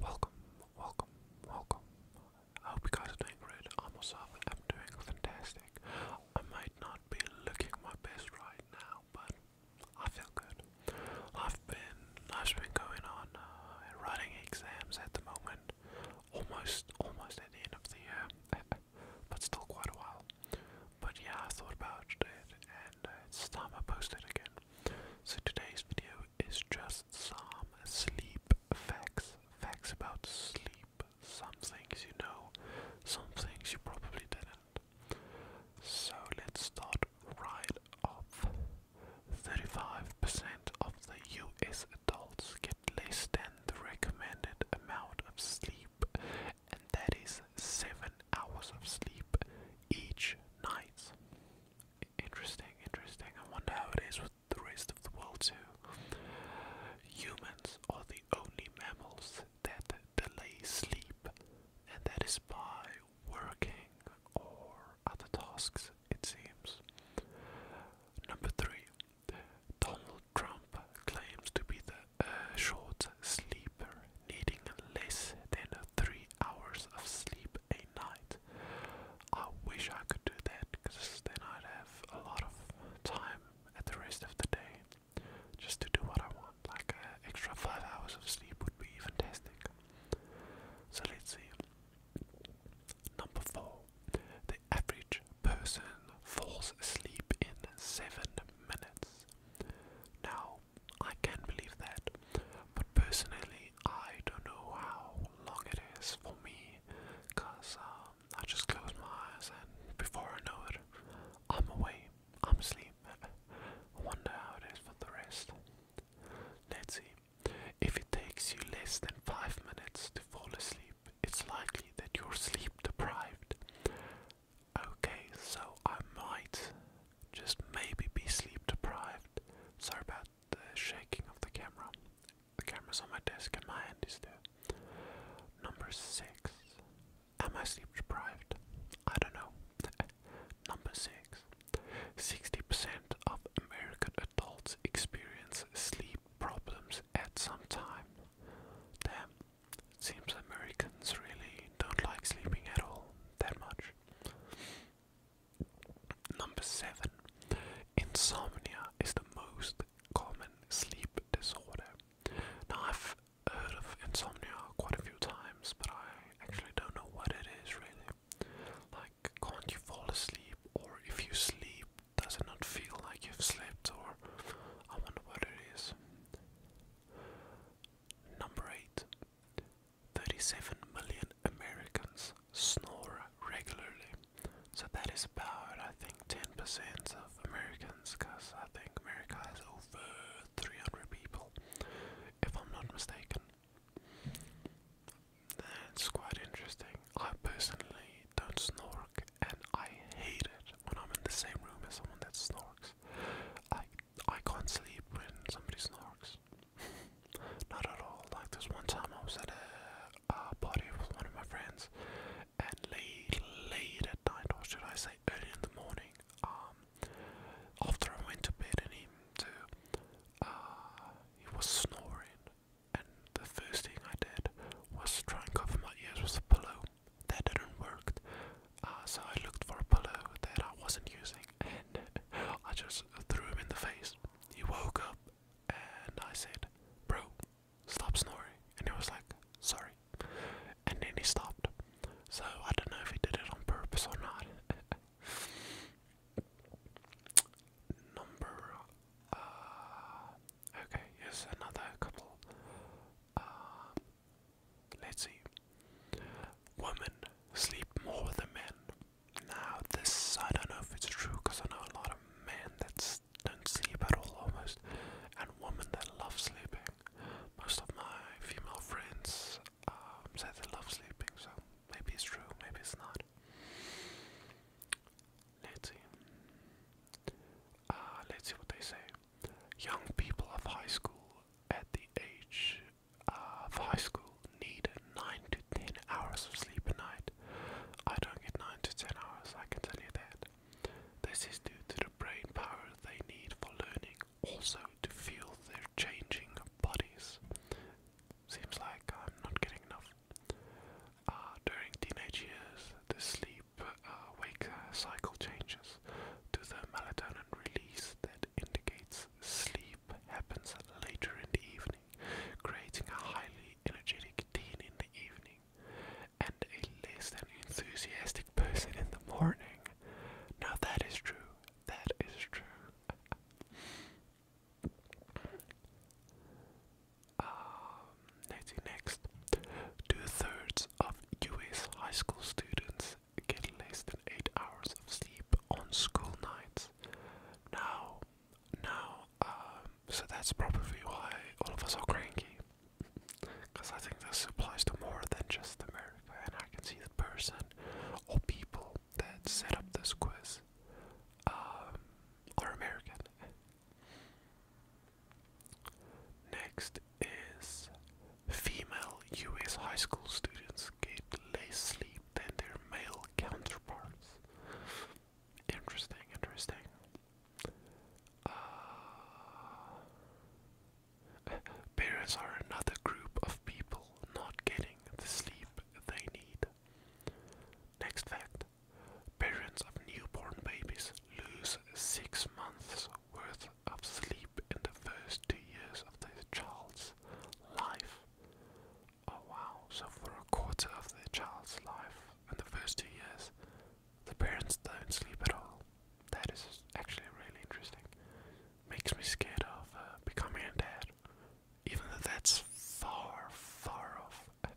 Welcome, welcome, welcome. I hope you guys are doing great. I myself am doing fantastic. I might not be looking my best right now, but I feel good. I've been, I've been going on uh, writing exams at the moment, almost, almost at the end of the year, but still quite a But yeah, I thought about it, and uh, it's time I posted again. So today's video it's just some sleep facts. Facts about sleep. Some things you know, some things you probably didn't. So let's start right off. 35% of the US adults get less than the recommended amount of sleep, and that is 7 hours of sleep each night. Interesting, interesting. I wonder how it is with the rest of the world too. Humans are the only mammals that delay sleep, and that is by working or other tasks, it seems. Number three, Donald Trump claims to be the uh, short sleeper, needing less than three hours of sleep a night. I wish I could do that because then I'd have a lot of time at the rest of the day just to do what I want. Like uh, extra five hours of sleep would be fantastic. So let's see. Number four. The average person falls asleep in seven minutes. Now, I can not believe that, but personally, I don't know how long it is for me, cause um, I just close my eyes and before I know it, I'm away, I'm asleep. I wonder how it is for the rest. Let's see. If it takes you less than five minutes to fall asleep, it's likely that you're sleep deprived. Okay, so I might just maybe be sleep deprived. Sorry about the shaking of the camera. The camera's on my desk and my hand is there. Number six. Am I sleep deprived? I don't know. Number six. 60% of American adults experience sleep problems at some time. Damn, seems Americans really don't like sleeping at all that much. Number 7. Insomnia is the most common sleep disorder. Now, I've heard of insomnia quite a few times, but I actually don't know what it is really. Like, can't you fall asleep, or if you sleep, does it not feel like you've slept, or I wonder what it is. Number 8. 37 million Americans snore regularly. So that is about, I think, 10% of Americans, because I think America has over 300 people, if I'm not mistaken. That's quite interesting. I personally don't snore, and I hate it when I'm in the same room as someone that snorks. I can't sleep when somebody snorks. Not at all. Like this one time, I was at a, party with one of my friends, and late, late at night, or should I say, early in the morning, um, after I went to bed, and him too, uh, he was snoring, and the first thing I did was try and cover my ears with a pillow. That didn't work. Uh, so I looked for a pillow that I wasn't using and I just threw him in the face. He woke up and I said, Bro, stop snoring. And he was like, Sorry. And then he stopped. So I don't know if he did it on purpose or not. Number. Uh, okay, here's another couple. Uh, Let's see. Women sleep more than men. Now, this, I don't know if it's true because I know a lot of men that don't sleep at all almost, and women that love sleeping. Most of my female friends um, say they love sleeping, so maybe it's true, maybe it's not. Let's see. Uh, let's see what they say. Young people of high school at the age uh, for high school need 9 to 10 hours of sleep a night. I don't get 9 to 10 hours, I can tell you that. This is due to the brain power they need for learning, also to feel their changing bodies. Seems like I'm not getting enough. Uh, during teenage years, the sleep uh, wake uh, cycle changes to the melatonin release that indicates sleep happens later in the evening, creating a highly energetic teen in the evening and a less than enthusiastic person in the morning. Now that is true. That is true. um, next, two thirds of U.S. high school students get less than 8 hours of sleep on school nights. Now, now, um, so that's probably why all of us are cranky. Because I think this applies to more than just America, and I can see the person or people that set up this quiz um, are American. Next is Female US high school students get less sleep than their male counterparts. Interesting, interesting. Uh, parents are another group of people not getting the sleep they need. Next fact parents of newborn babies lose six months worth of sleep in the first two years of their child's life. Oh wow, so for a quarter of their child's life in the first two years, the parents don't sleep at all. That is actually really interesting. Makes me scared of uh, becoming a dad, even though that's far, far off.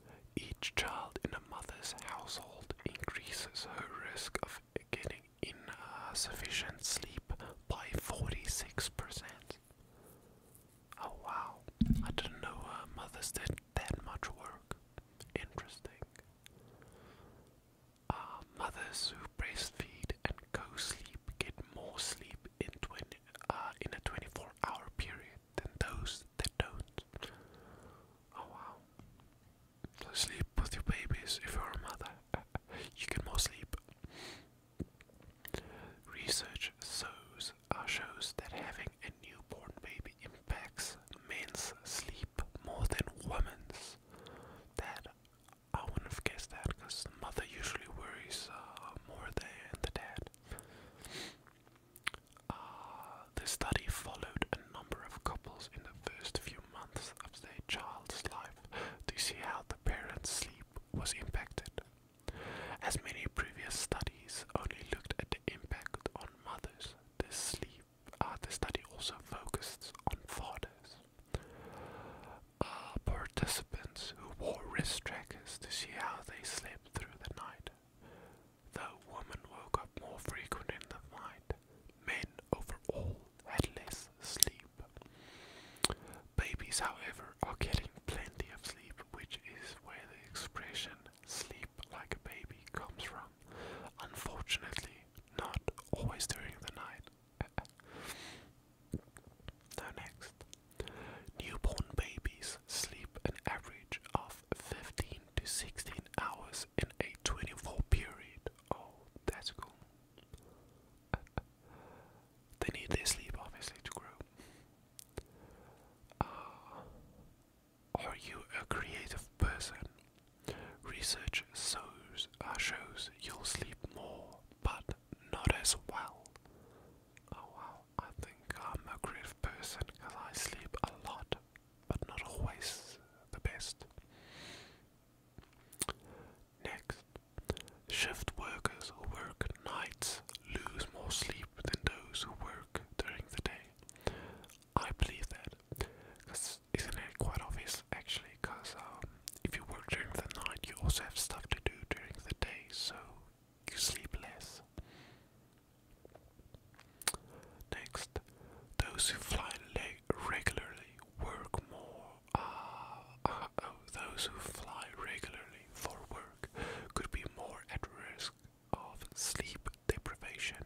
Each child in a mother's household increases her risk of getting insufficient uh, sleep by 46%. Oh wow, I didn't know uh, mothers did that much work. Interesting. Uh, mothers who breastfeed and co-sleep get more sleep in uh, a 24-hour period than those that don't. Oh wow. Sleep with your babies if you're a mother. you get more sleep. Research shows, uh, shows that having a newborn baby impacts men's sleep more than women's. That I wouldn't have guessed that because the mother usually worries uh, more than the dad. Uh, the study followed a number of couples in the first few months of their child's life to see how the parents' sleep was impacted. As many previous studies only looked at the impact on mothers, this sleep uh, the study also focused on fathers. Uh, participants who wore wrist trackers to see how they slept through the night the woman woke up more frequently in the night, men overall had less sleep. Babies, however, are getting plenty of sleep, which is where the expression sleep like a baby comes from. Unfortunately, not always during the night. now, next. Newborn babies sleep an average of 15 to 16 hours in a 24 period. Oh, that's cool. they need their sleep, obviously, to grow. Uh, are you a creative person? Research shows, uh, shows you'll sleep more, but not as well. Oh wow, I think I'm a creative person because I sleep a lot but not always the best. Next, shift workers who work nights lose more sleep than those who work during the day. I believe that, because isn't it quite obvious actually? Because um, if you work during the night, you also have stuff to do during the day, so you sleep less. Next, those who fly regularly work more. Uh, uh, oh, those who fly regularly for work could be more at risk of sleep deprivation.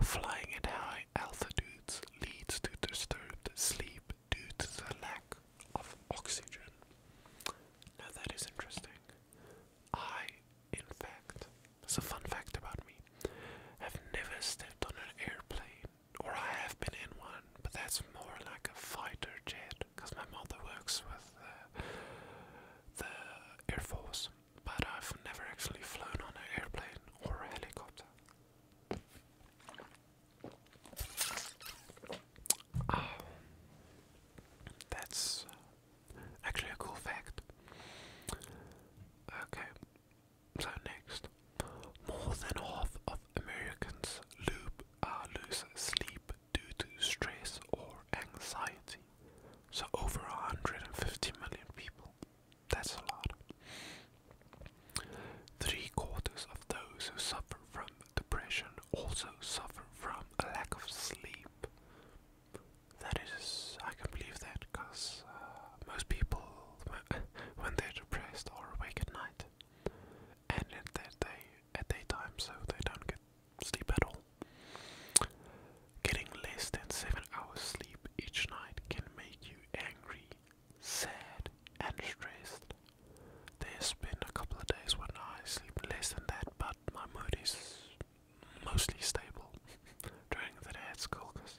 Flying at high altitudes leads to disturbed sleep due to the lack of oxygen. Now that is interesting. I, in fact, it's a fun fact about me, have never stepped on an airplane, or I have been in one, but that's more like a fighter jet, because my mother works with the Air Force, but I've never actually flown on an airplane or a helicopter. Oh, that's Actually, a cool fact. Okay, so next. More than half of Americans uh, lose sleep due to stress or anxiety. So, over 150 million people. That's a lot. Three quarters of those who suffer from depression also suffer from a lack of sleep. That is, I can believe that, because uh, most people, when they're depressed, are awake at night and at, that day, at daytime, so they don't get sleep at all. Getting less than 7 hours sleep each night can make you angry, sad, and stressed. There's been a couple of days when I sleep less than that, but my mood is mostly stable during the day at school because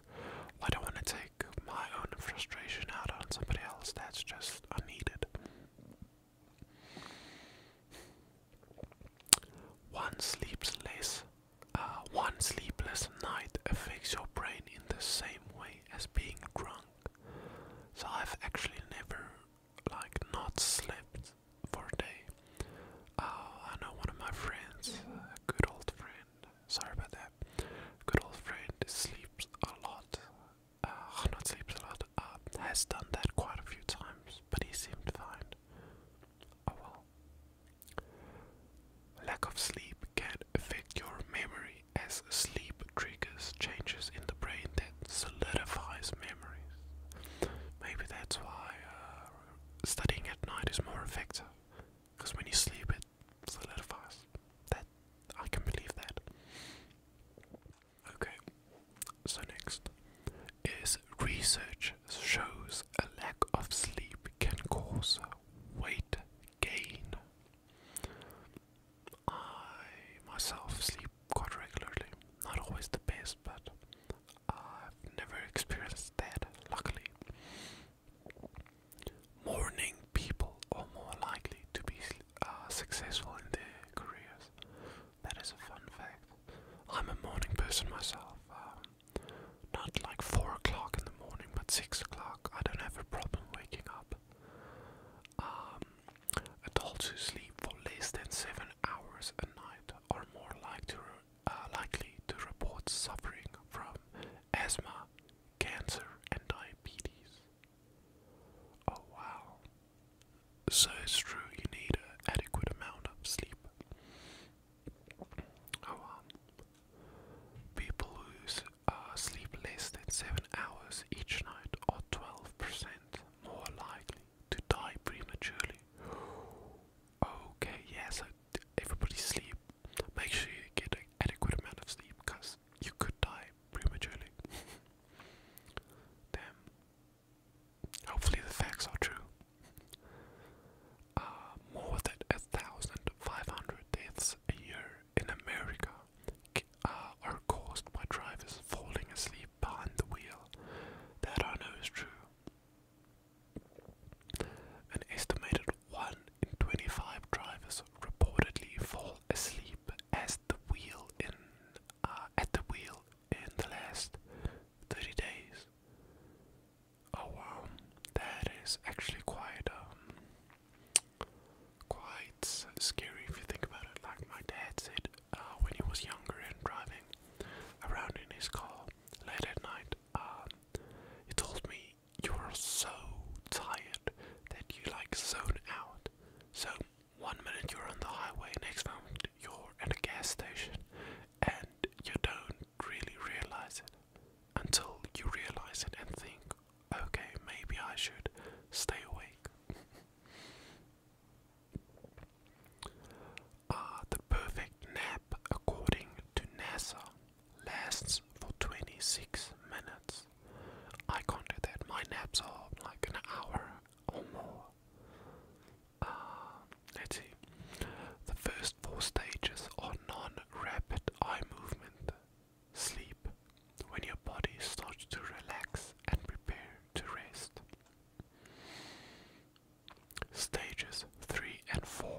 I don't want to take my own frustration out on somebody else. That's just unneeded. One sleeps less. Uh, one sleepless night affects your brain in the same way as being drunk. So I've actually never like not slept for a day. Uh, I know one of my friends, a good old friend, sorry about that, good old friend sleeps a lot, uh, sleeps a lot, uh, has done that quite a few times, but he seemed fine. Oh, well. Lack of sleep can affect your memory as sleep triggers changes in the brain that solidifies memory memories. Maybe that's why uh, studying at night is more effective, because when you sleep, it solidifies. That I can believe that. Okay, so next is research shows a lack of sleep can cause weight gain. I myself sleep quite regularly. Not always the best, but I've never experienced that, luckily. Morning people are more likely to be uh, successful in their careers. That is a fun fact. I'm a morning person myself. Um, not like 4 o'clock in the morning, but 6 o'clock. I don't have a problem waking up. Um, Adults who sleep for less than seven hours a night are more uh, likely to report suffering from asthma, cancer, and diabetes. Oh wow! So it's true you need an adequate amount of sleep. Oh wow! People who uh, sleep less than seven hours each night are twelve percent more likely to die prematurely. Okay, yeah, so everybody sleep. Make sure you get an adequate amount of sleep because you could die prematurely. Damn. Hopefully the facts are true. Uh, more than 1,500 deaths a year in America uh, are caused by drivers falling asleep behind the wheel. That I know is true. An estimated 1 in 25 drivers reportedly fall asleep as the wheel in, uh, at the wheel in the last 30 days. Oh wow, that is actually quite, um, quite scary if you think about it. Like my dad said, uh, when he was younger and driving around in his car late at night. Um, he told me you were so tired that you like zone out. So one minute you're on the highway, next moment you're at a gas station, and you don't really realize it until you realize it and think, okay, maybe I should stay awake. Ah, the perfect nap, according to NASA, lasts for 26 minutes. I can't do that. My naps are like an hour or more. Ah, let's see. The first four stages are non rapid eye movement, sleep, when your body starts to relax and prepare to rest. Stages 3 and 4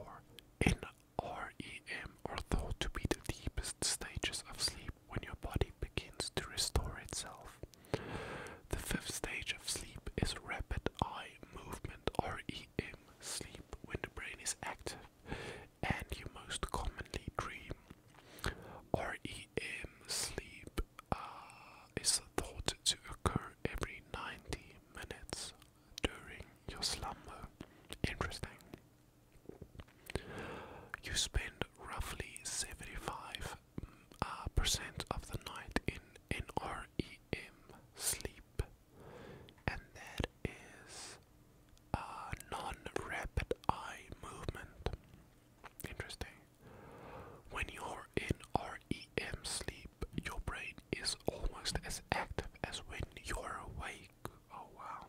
in REM are thought to be the deepest stages of sleep when your body begins to restore itself. The fifth stage of sleep is rapid eye movement REM sleep when the brain is active and you most commonly dream REM sleep uh, is thought to occur every 90 minutes during your slumber. Interesting. You spend roughly 75% uh, of the night in NREM sleep, and that is a uh, non rapid eye movement. Interesting. When you're in REM sleep, your brain is almost as active as when you're awake. Oh, wow.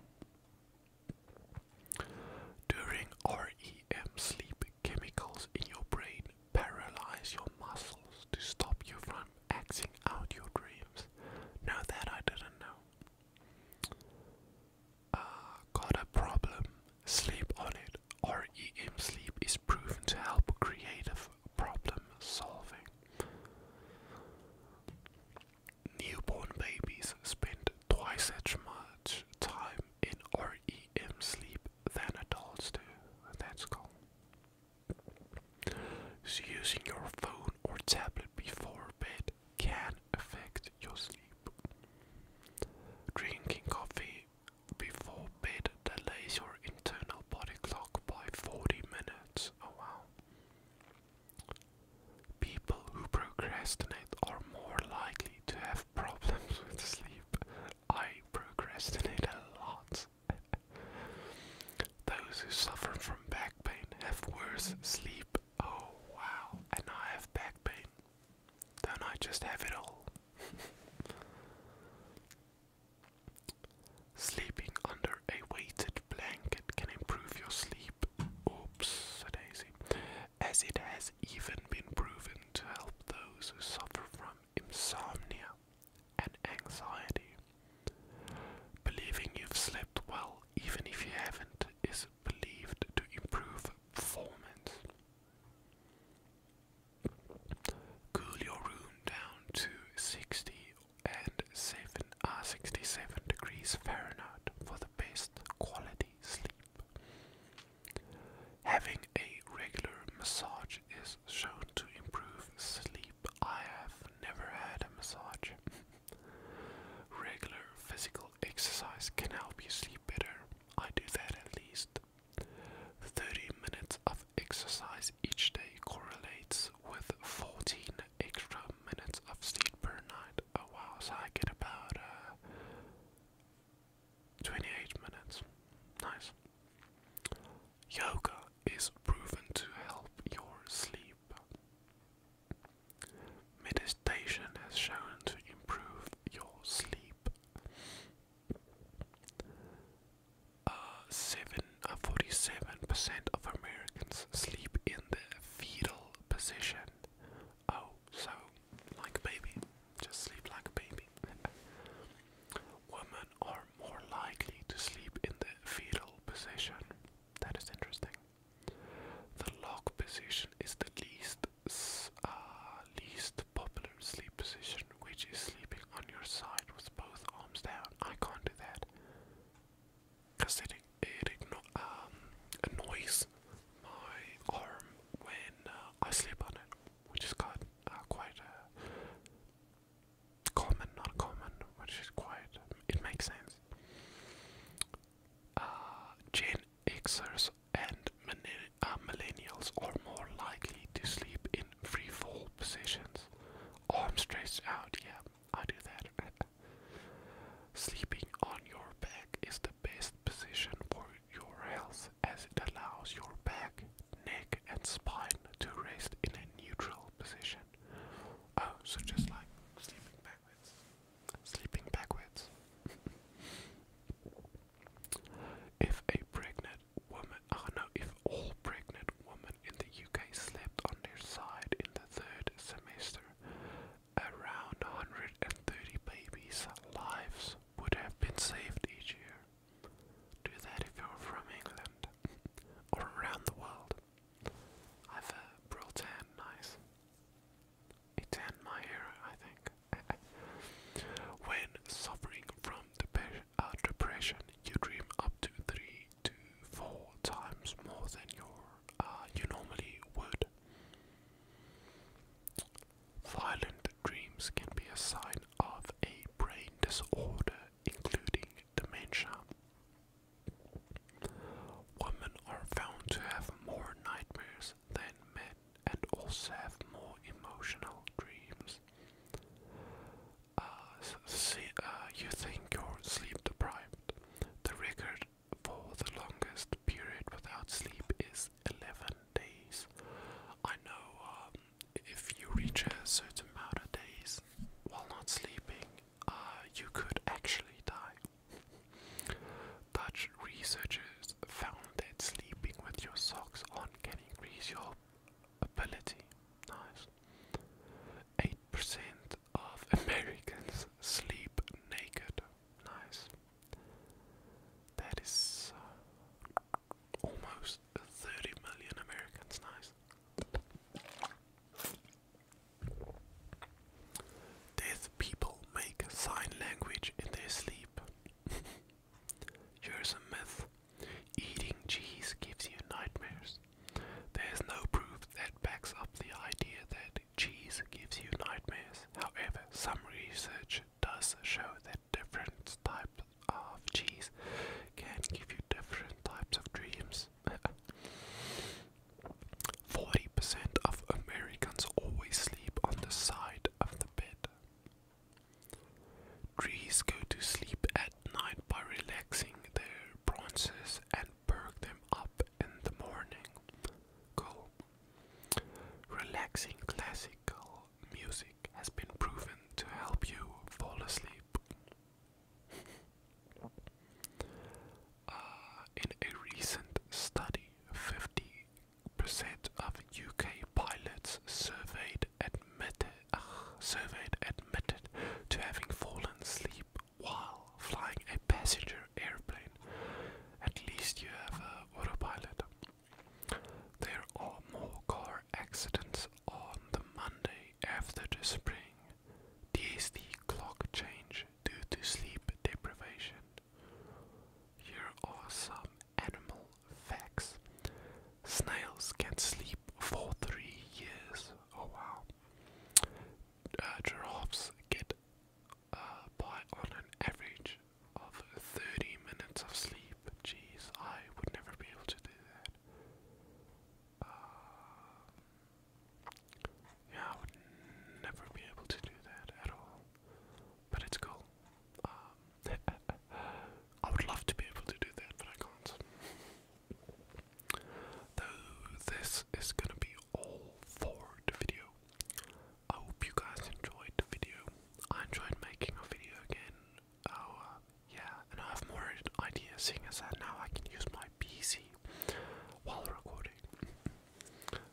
During REM sleep, chemicals in your brain paralyze your muscles to stop you from acting out your dreams. No, that I didn't know. Ah, got a problem? Sleep on it. REM sleep is proven to help creative problem solving. Newborn babies spend twice as much time in REM sleep than adults do. That's cool. So using your phone or tablet before bed can affect your sleep. Drinking coffee before bed delays your internal body clock by 40 minutes. Oh wow. People who procrastinate are more likely to have problems with sleep. I procrastinate a lot. Those who suffer from back pain have worse sleep. Oh wow. And I have back pain do I just have it all? Sleeping under a weighted blanket can improve your sleep. Oops, a daisy. As it has even been proven to help those who suffer from insomnia and anxiety. Believing you've slept well even if you haven't, is believed to improve performance. Cool your room down to 60 and 7, uh, 67 degrees Fahrenheit for the best quality sleep. Having a regular massage is shown to improve sleep. I have never had a massage. Regular physical exercise can help you sleep better. I do that at least. 30 minutes of exercise each day correlates with 14 extra minutes of sleep per night. Oh I get about uh, 28 minutes. Nice. Yoga is proven to help your sleep. Meditation has shown to improve your sleep. 47% uh, uh, of Americans sleep in the fetal position. Oh, so like a baby. Just sleep like a baby. Women are more likely to sleep in the fetal position. That is interesting. The log position is the least uh, least popular sleep position, which is sleeping on your side with both arms down. I can't do that because it it um, annoys my arm when uh, I sleep on it, which is quite uh, common, not common, which is quite it makes sense uh, Gen Xers and uh, millennials are more likely to sleep in free fall positions. Arms oh, stretched out, yeah, I do that. Sleeping on your back is the best position for your health as it allows your back, neck, and spine to rest in a neutral position. Oh, so just like sleeping backwards sleeping backwards. if a pregnant woman, oh no, if all pregnant women in the UK slept on their side in the third semester, around 130 babies' lives would have been saved each year. Do that if you're from England or around the world. I have a Brill nice. A 10, my hero, I think. when suffering from depression, uh, depression, you dream up to 3 to 4 times more than your, uh, you normally would. Violent dreams can be a sign of a brain disorder, including dementia. Women are found to have more nightmares than men and also have more emotional dreams. Uh, see, uh, you think you're sleep deprived. The record for the longest period without sleep is 11 days. I know um, if you reach a certain amount of days while not sleeping, uh, you could actually die. Dutch researchers found that sleeping with your socks on can increase your ability. 8% of Americans sleep naked. Nice. That is uh, almost 30 million Americans. Nice. Deaf people make sign language in their sleep. Here's a myth. Eating cheese gives you nightmares. There's no proof that backs up the idea that cheese gives you nightmares. However, some research does show that different types of cheese can give you different types of dreams. Forty percent of Americans always sleep on the side of the bed. Trees go to sleep at night by relaxing their branches and perk them up in the morning. Relaxing classical music has been proven to help you fall asleep. Uh, in a recent study, 50% of UK pilots uh, surveyed admitted, to having fallen asleep while flying a passenger airplane. At least you have a autopilot. There are more car accidents on the Monday after the spring the clock change due to sleep deprivation. Here are some animal facts. Snails can sleep for three years. Oh wow. Uh, giraffes get uh, by on an average of 30 minutes of sleep. Jeez, I would never be able to do that. Um, yeah, I would never be able to do that at all. But it's cool. Um, I would love to be able to do that, but I can't. Though this is gonna be all for the video. I hope you guys enjoyed the video. I enjoyed making a video again. Oh, uh, yeah, and I have more ideas seeing as that now I can use my PC while recording.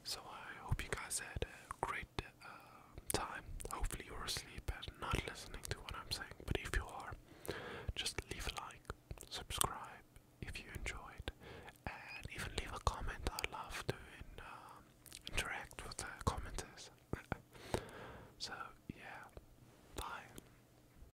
So I hope you guys had a great uh, time. Hopefully you're asleep and not listening to what I'm saying. But if you are, just leave a like, subscribe if you enjoyed, and even leave a comment. I love to um, interact with the commenters. so yeah, bye.